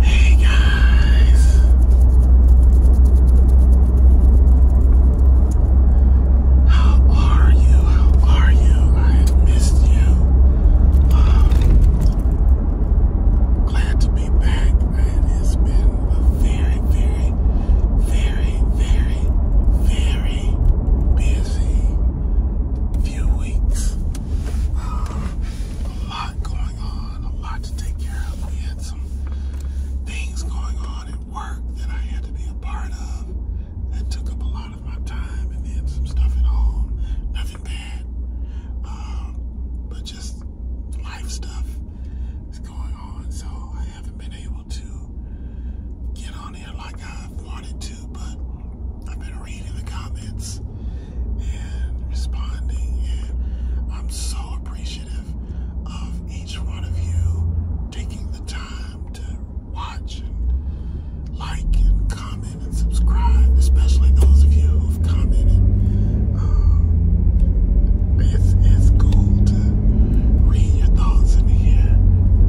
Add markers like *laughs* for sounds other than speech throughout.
Hey guys. How are you? How are you? I missed you. Um, glad to be back. It has been a very, very, very, very, very busy few weeks. Um, a lot going on, a lot to take care of. We had some things going on at work that I had to be a part of that took up a lot of my time, and then some stuff at home. Nothing bad, um, but just life stuff is going on, so I haven't been able to get on here like I've wanted to, but I've been reading the comments and responding, and I'm so appreciative of each one of you taking the time to watch and like and comment and subscribe, especially those of you who've commented. Um, it's, it's cool to read your thoughts in here.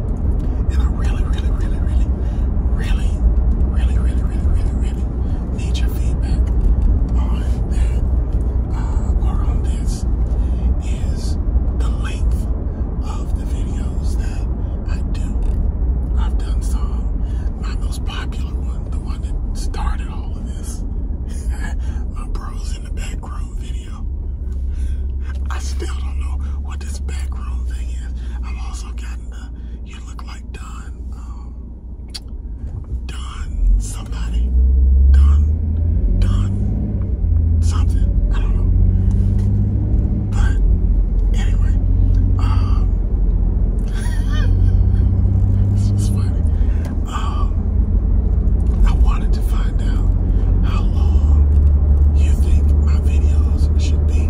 And I really, really, really, really, really, really, really, really, really, need your feedback on that uh, or on this is the length of the videos that I do. I've done some, my most popular one, the one that started all of this, *laughs* my bros in the back video. I still don't know what this back thing is. I've also gotten Donna. You look like Don, um, Don somebody. Don, Don something. I don't know. But anyway, um, *laughs* this was funny. Um, I wanted to find out how long you think my videos should be.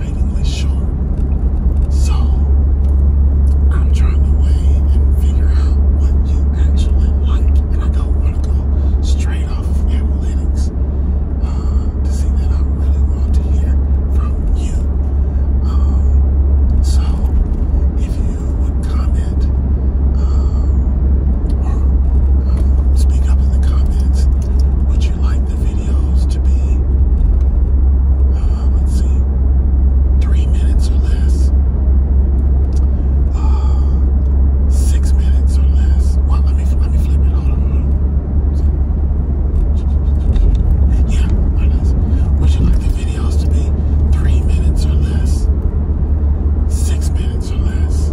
frustratingly short. So I'm trying to weigh and figure out what you actually like, and I don't want to go straight off of analytics uh, to see that I really want to hear from you. Um, so if you would comment um, or uh, speak up in the comments, would you like the video? videos to be, uh, let's see, three minutes or less, uh, six minutes or less. Well, let me let me flip it. on, Yeah, or less. Would you like the videos to be three minutes or less, six minutes or less?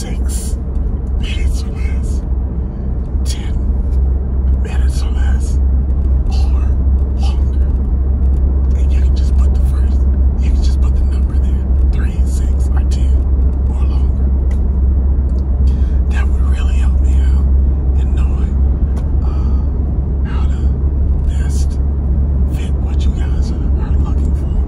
six minutes or less, ten minutes or less, or longer. And you can just put the first, you can just put the number there, three, six, or ten, or longer. That would really help me out in knowing uh, how to best fit what you guys are looking for.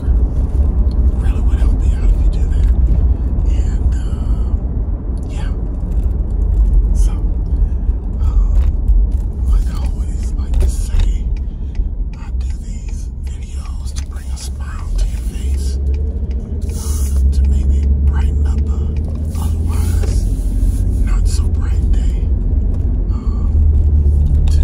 longer. Really would help me out if you do that. And uh, yeah. So um, I always like to say, I do these videos to bring a smile to your face. Uh, to maybe brighten up a otherwise not so bright day. Um, to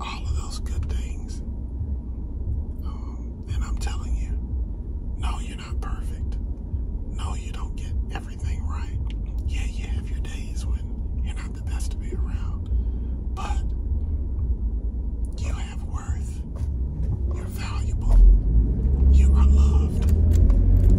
all of those good things. Um, and I'm telling you, no, you're not perfect. No, you don't get everything right. Yeah, you have your days when you're not the best to be around, but you have worth. You're valuable. You are loved.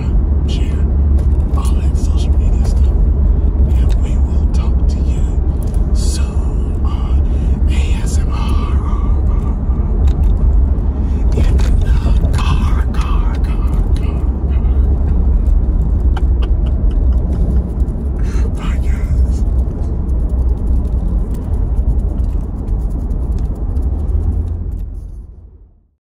subscribe, share, all that social media stuff. And we will talk to you soon on ASMR in the car, car, car, car. Bye, guys.